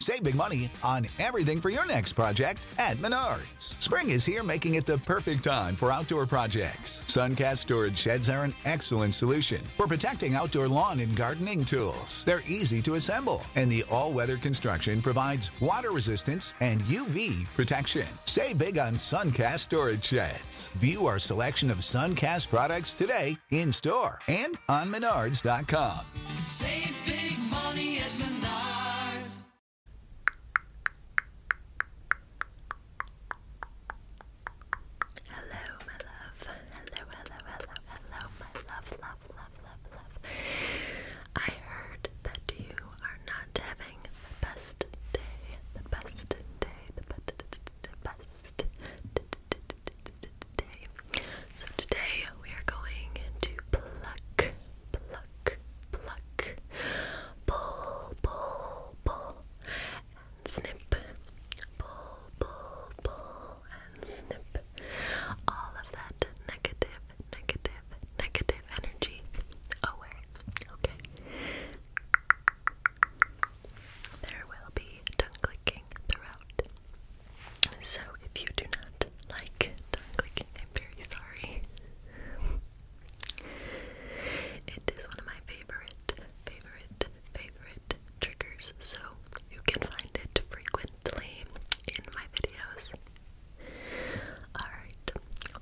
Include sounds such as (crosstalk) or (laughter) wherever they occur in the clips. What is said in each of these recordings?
Save big money on everything for your next project at Menards. Spring is here, making it the perfect time for outdoor projects. Suncast storage sheds are an excellent solution for protecting outdoor lawn and gardening tools. They're easy to assemble, and the all weather construction provides water resistance and UV protection. Save big on Suncast storage sheds. View our selection of Suncast products today in store and on menards.com. Hello, my love. Hello, hello, hello, hello, my love, love, love, love, love. I heard that you are not having the best day, the best day, the best, so today we are going to pluck, pluck, pluck, pull, pull, pull, and snip, pull, pull, pull, and snip. All of that negative, negative, negative energy away. Okay. There will be tongue clicking throughout so if you do not like it, I'm very sorry. it is one of my favorite, favorite, favorite triggers, so you can find it frequently in my videos. Alright,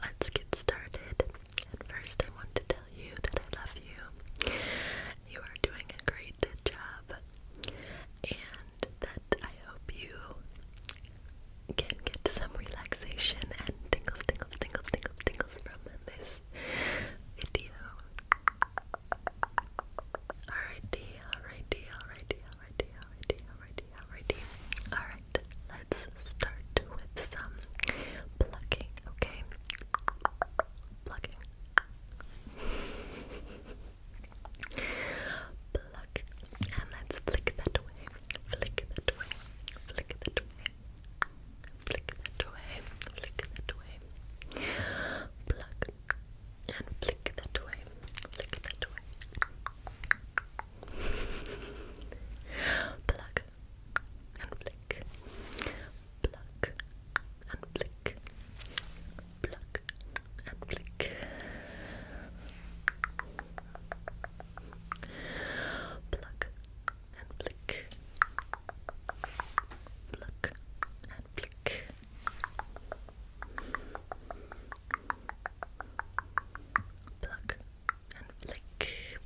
let's get started. And first, I want to tell you that I love you. You are doing a great job and that I hope you can get some relaxation and tingles, tingles, tingles, tingles, tingles from this video. Alrighty, alrighty, alrighty, alrighty, alrighty, alrighty, alrighty. Alright, let's start with some plucking, okay? plucking. Pluck. And let's flick that away. Flick that away. Flick that away. Flick that away. Flick that away. Pluck. And flick that away. Flick that away. Pluck. And flick pluck and flick, pluck and flick, pluck and flick, pluck and flick. Pluck and flick, flick,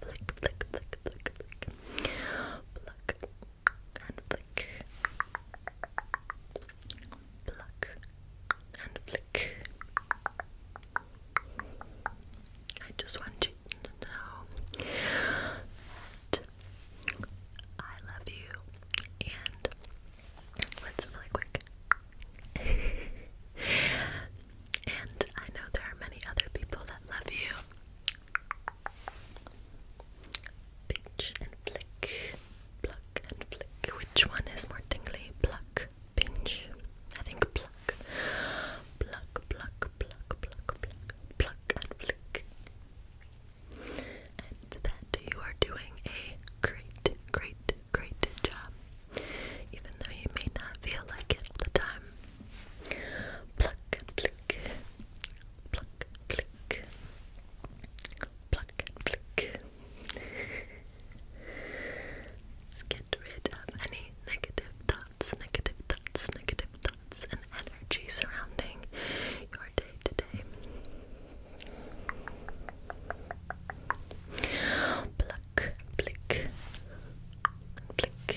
flick, flick, flick, flick, pluck and flick, pluck and flick. I just want you to know that I love you, and let's really quick. (laughs) and I know there are many other people that love you. Pinch and flick, pluck and flick. Which one is more tingly? Pluck, pinch. I think pluck. Pluck, pluck, pluck, pluck, pluck, pluck and flick. And that you are doing a great, great, great job. Even though you may not feel like it all the time. Pluck and flick. Pluck pluck, pluck, pluck, Let's get rid of any negative thoughts, negative thoughts, negative thoughts, and energy surrounding your day today. Pluck, pluck, pluck, pluck.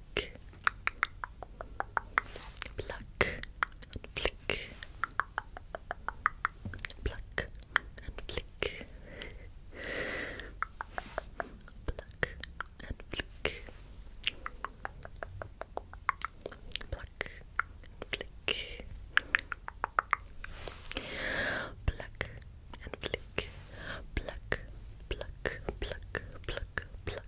flick, pluck, flick, pluck, and flick, pluck, and flick, pluck, flick, pluck. And flick, pluck, pluck, pluck, pluck, pluck,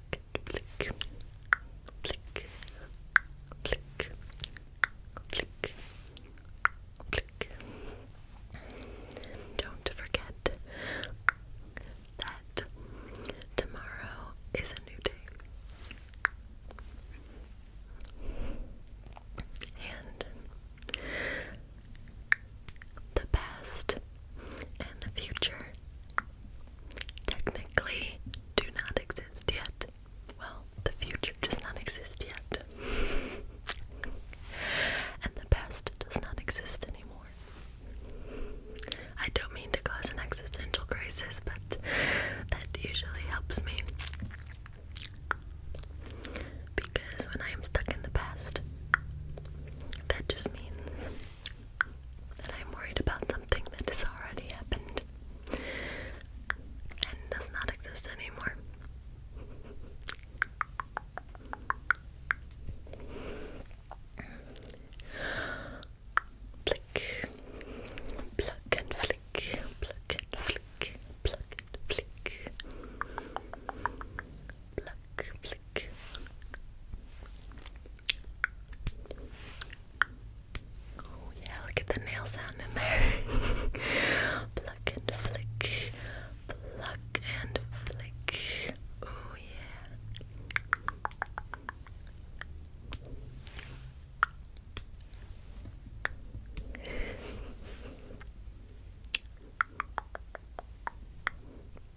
don't forget that tomorrow is a new day. And the past and the future technically do not exist yet. Well, the future does not exist yet. (laughs) and the past does not exist anymore. I don't mean to cause an existential crisis, but that usually helps me. Because when I am stuck in the past, that just means and I'm worried about something that has already happened and does not exist anymore. Flick, pluck and flick, pluck and flick, flick, flick, Oh yeah, look at the nail sound in there. (laughs) pluck and flick, pluck and flick. Oh yeah.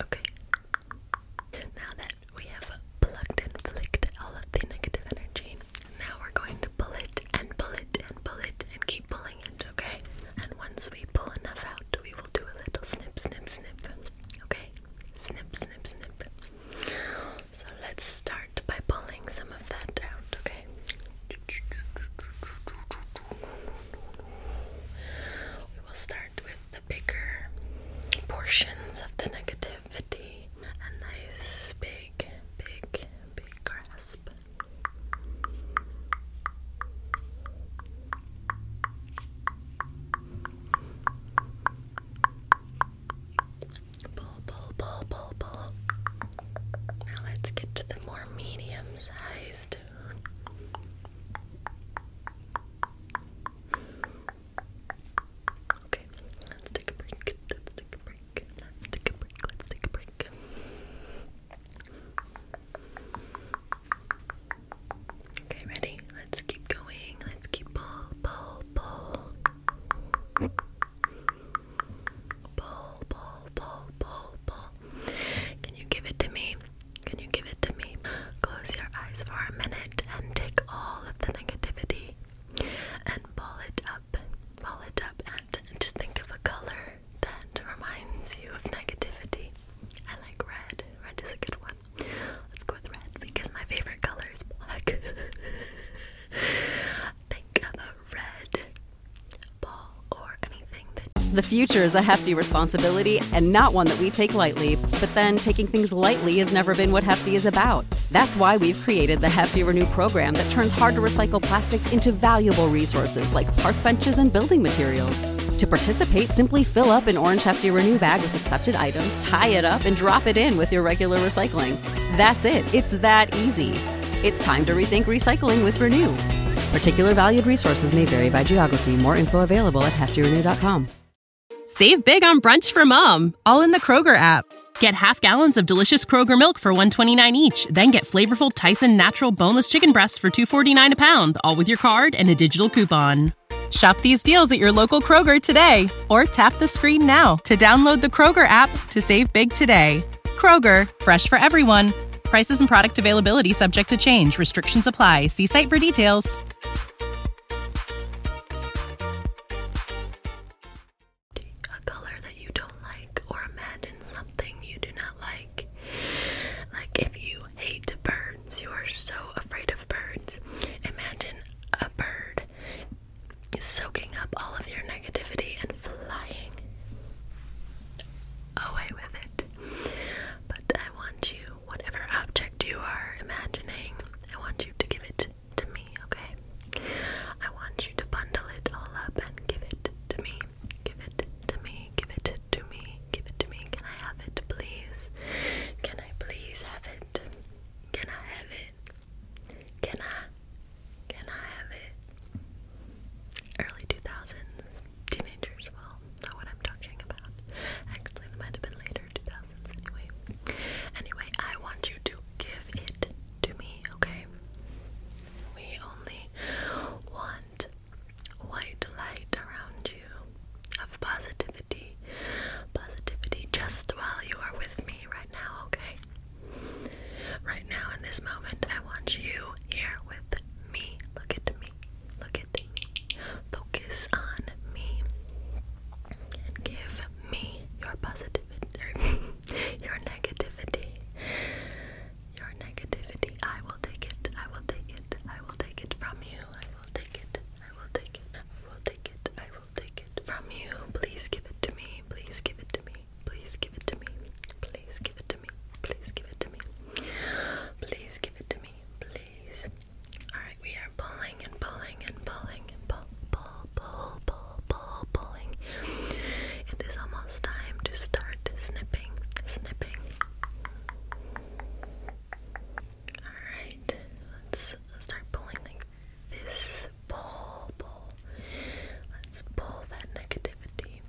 Okay. Now that we have plugged and flicked all of the negative energy, now we're going to pull it and pull it and pull it and keep pulling it, okay? And once we pull enough out, we will do a little snip, snip, snip. Okay? Snip, snip, snip. So let's start by pulling some of that out, okay? We will start with the bigger portions of the negativity. A nice big, big, big grasp. Pull, pull, pull, pull, pull. Now let's get to the more medium sized. Okay, let's take a break. Let's take a break. Let's take a break. Let's take a break. Okay, ready? let's keep going. Let's keep pull, pull, pull. Pull, pull, pull, pull, pull. Can you give it to me? Can you give it to me? Close your eyes for a minute and take all of the negativity and pull it up. Pull it up and just think of a color that reminds you of negativity. I like red. Red is a good one. Let's go with red because my favorite color is black. (laughs) Think of a red ball or anything The future is a hefty responsibility and not one that we take lightly, but then taking things lightly has never been what Hefty is about. That's why we've created the Hefty Renew program that turns hard to recycle plastics into valuable resources like park benches and building materials. To participate, simply fill up an orange Hefty Renew bag accepted items, tie it up, and drop it in with your regular recycling. That's it. It's that easy. It's time to rethink recycling with Renew. Particular valued resources may vary by geography. More info available at heftyrenew.com. Save big on brunch for mom, all in the Kroger app. Get half gallons of delicious Kroger milk for 129 each, then get flavorful Tyson natural boneless chicken breasts for 249 a pound, all with your card and a digital coupon. Shop these deals at your local Kroger today or tap the screen now to download the Kroger app to save big today. Kroger, fresh for everyone. Prices and product availability subject to change. Restrictions apply. See site for details. A color that you don't like or imagine something you do not like. Like if you hate birds you are so afraid of birds. Imagine a bird soaking up all of your negativity and flying away with it. But I want you, whatever object you are imagining, I want you to give it to me, okay? I want you to bundle it all up and give it to me. Give it to me. Give it to me. Give it to me. Can I have it, please? Can I please have it? Can I have it? Can I? Can I have it? Early 2000s. Teenagers Well, know what I'm talking about. Actually, it might have been later 2000s anyway. Anyway, I want you to give it to me, okay? We only want white light around you of positivity positivity, just while you are with me right now, okay? Right now, in this moment, I want you here with me. Look at me, look at me, focus on me, give me your positivity, (laughs) your negativity. Your negativity, I will take it, I will take it, I will take it from you, I will take it, I will take it. I will take it. I will take it from you. Please give it to me. Please give it to me. Please give it to me. Please give it to me. Please give it to me. Please give it to me. Please. Alright, we are pulling and pulling and pulling pull, pull, pull, pull, pull, pulling. It is almost time to start snipping, snipping. Alright, let's start pulling like this. Pull, pull. Let's pull that negativity.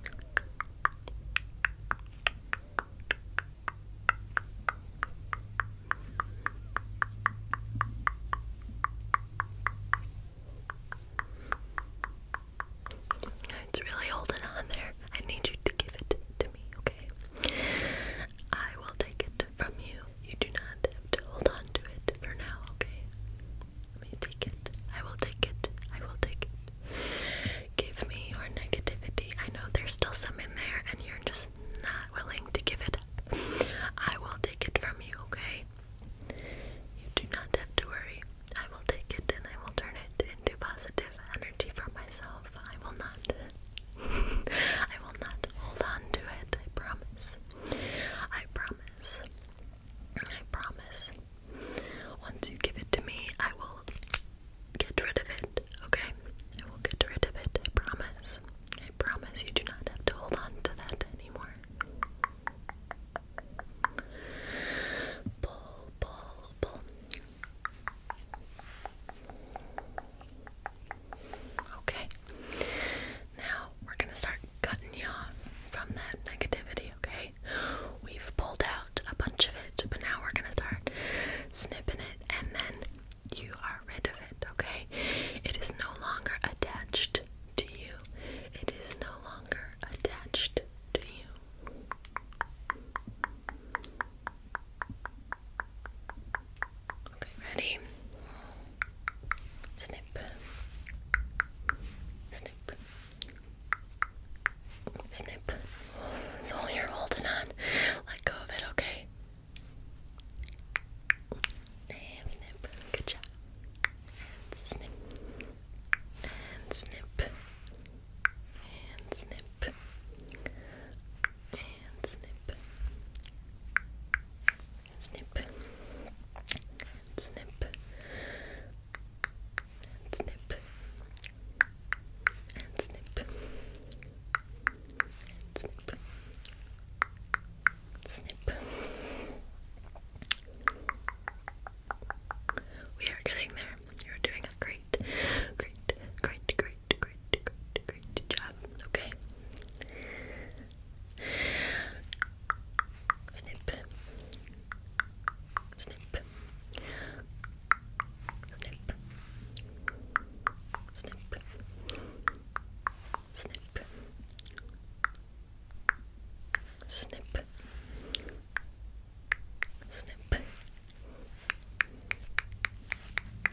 It's really holding on there. I need you to give it to me, okay? I will take it from you. You do not have to hold on to it for now, okay? Let me take it. I will take it. I will take it. Give me your negativity. I know there's still some in there and you're just not willing to give it up. I will take it from you, okay? You do not have to worry. I will take it and I will turn it into positive energy for myself. I will not. (laughs) I will not hold on to it. I promise. I promise. I promise. Once you give it to me, I will get rid of it, okay? I will get rid of it, I promise. I promise you do not have to hold on to that anymore. Pull, pull, pull. Okay. Now we're going to start cutting you off from that negativity, okay? We've pulled out a bunch of it, but now we're going to start snipping it and then you are rid of it, okay? It is no longer attached to you. It is no longer attached to you. Okay, ready? Snip, snip, snip. It's all you're holding on. Let go of it, okay? And snip. Good job. And snip. And snip and snip and snip snip snip snip snip snip snip we are getting there you're doing a great, great, great, great, great, great, great job. Okay. Snip. Snip. Snip. Snip. Snip. Snip. Snip.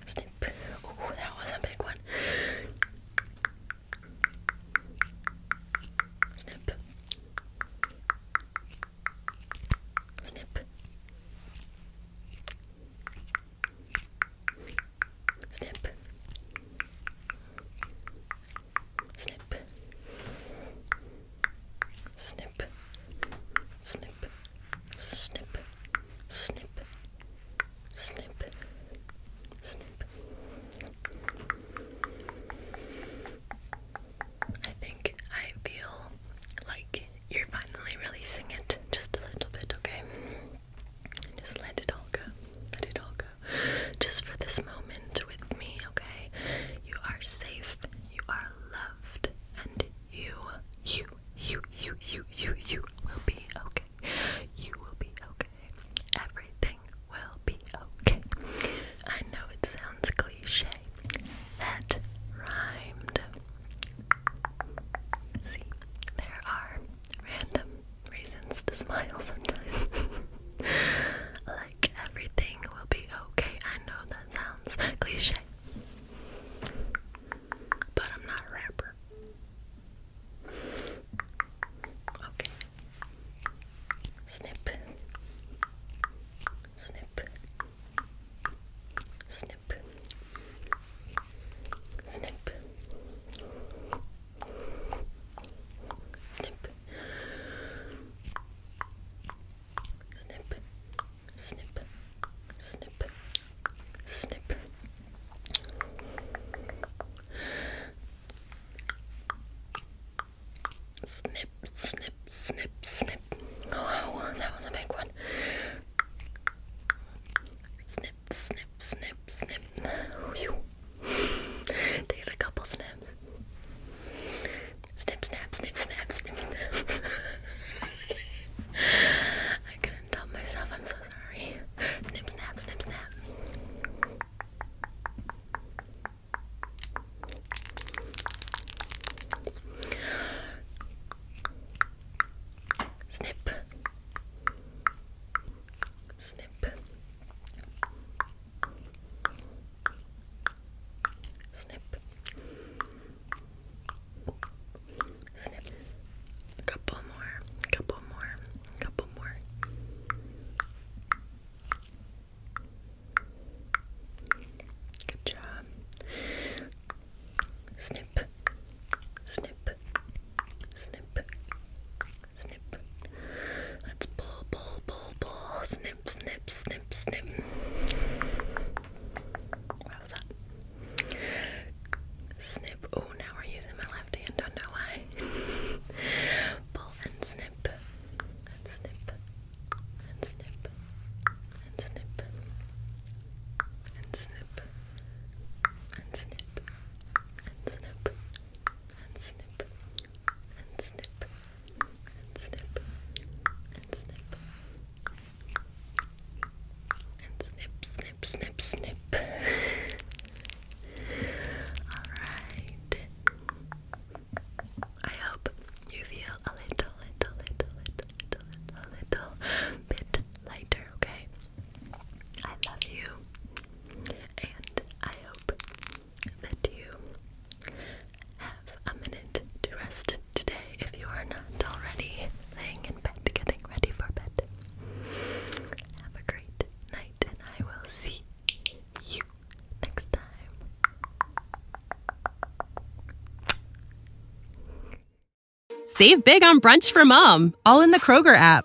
Snip. Oh, that was a big one. Snip. Snip. Snip snip, snip, snip, snip, snip, snip, snip. I think I feel like you're finally releasing it just a little bit, okay? Just let it all go. Let it all go. Just for this moment with me, okay? You are safe you are loved, and you, you, you, you, you, you, you will be okay. You will be okay. Everything will be okay. I know it sounds cliche. That rhymed. See, there are random reasons to smile sometimes. (laughs) like everything will be okay. I know that sounds cliche, but I'm not a rapper. Okay. Snip. Snip. Snip. Snip. Snip snip, snip, snip, snip. Snip, snip, snip, snip. Oh, that was a big one. Snip, snip, snip, snip. (sighs) Take a couple snaps. Snip, snap, snip, snap, snip, snap. (laughs) I couldn't help myself. I'm so sorry. Snip, snap, snip, snap. Snip. Snip. Snip. Snip. Snip. A couple more. Couple more. Couple more. Good job. Snip. Snip. Snip. Snip. Let's pull, pull, pull, pull. Snip, snip, snip, snip. What was that? Snip. Oh, now we're using my left hand. Don't know why. (laughs) pull And snip. And snip. And snip. And snip. And snip. And snip. And snip. And snip and snip and snip and snip and snip snip snip snip alright I hope you feel a little little little little little little little bit lighter okay I love you and I hope that you have a minute to rest today if you are not already laying in bed getting ready for bed. Have a great night, and I will see you next time. Save big on brunch for mom, all in the Kroger app.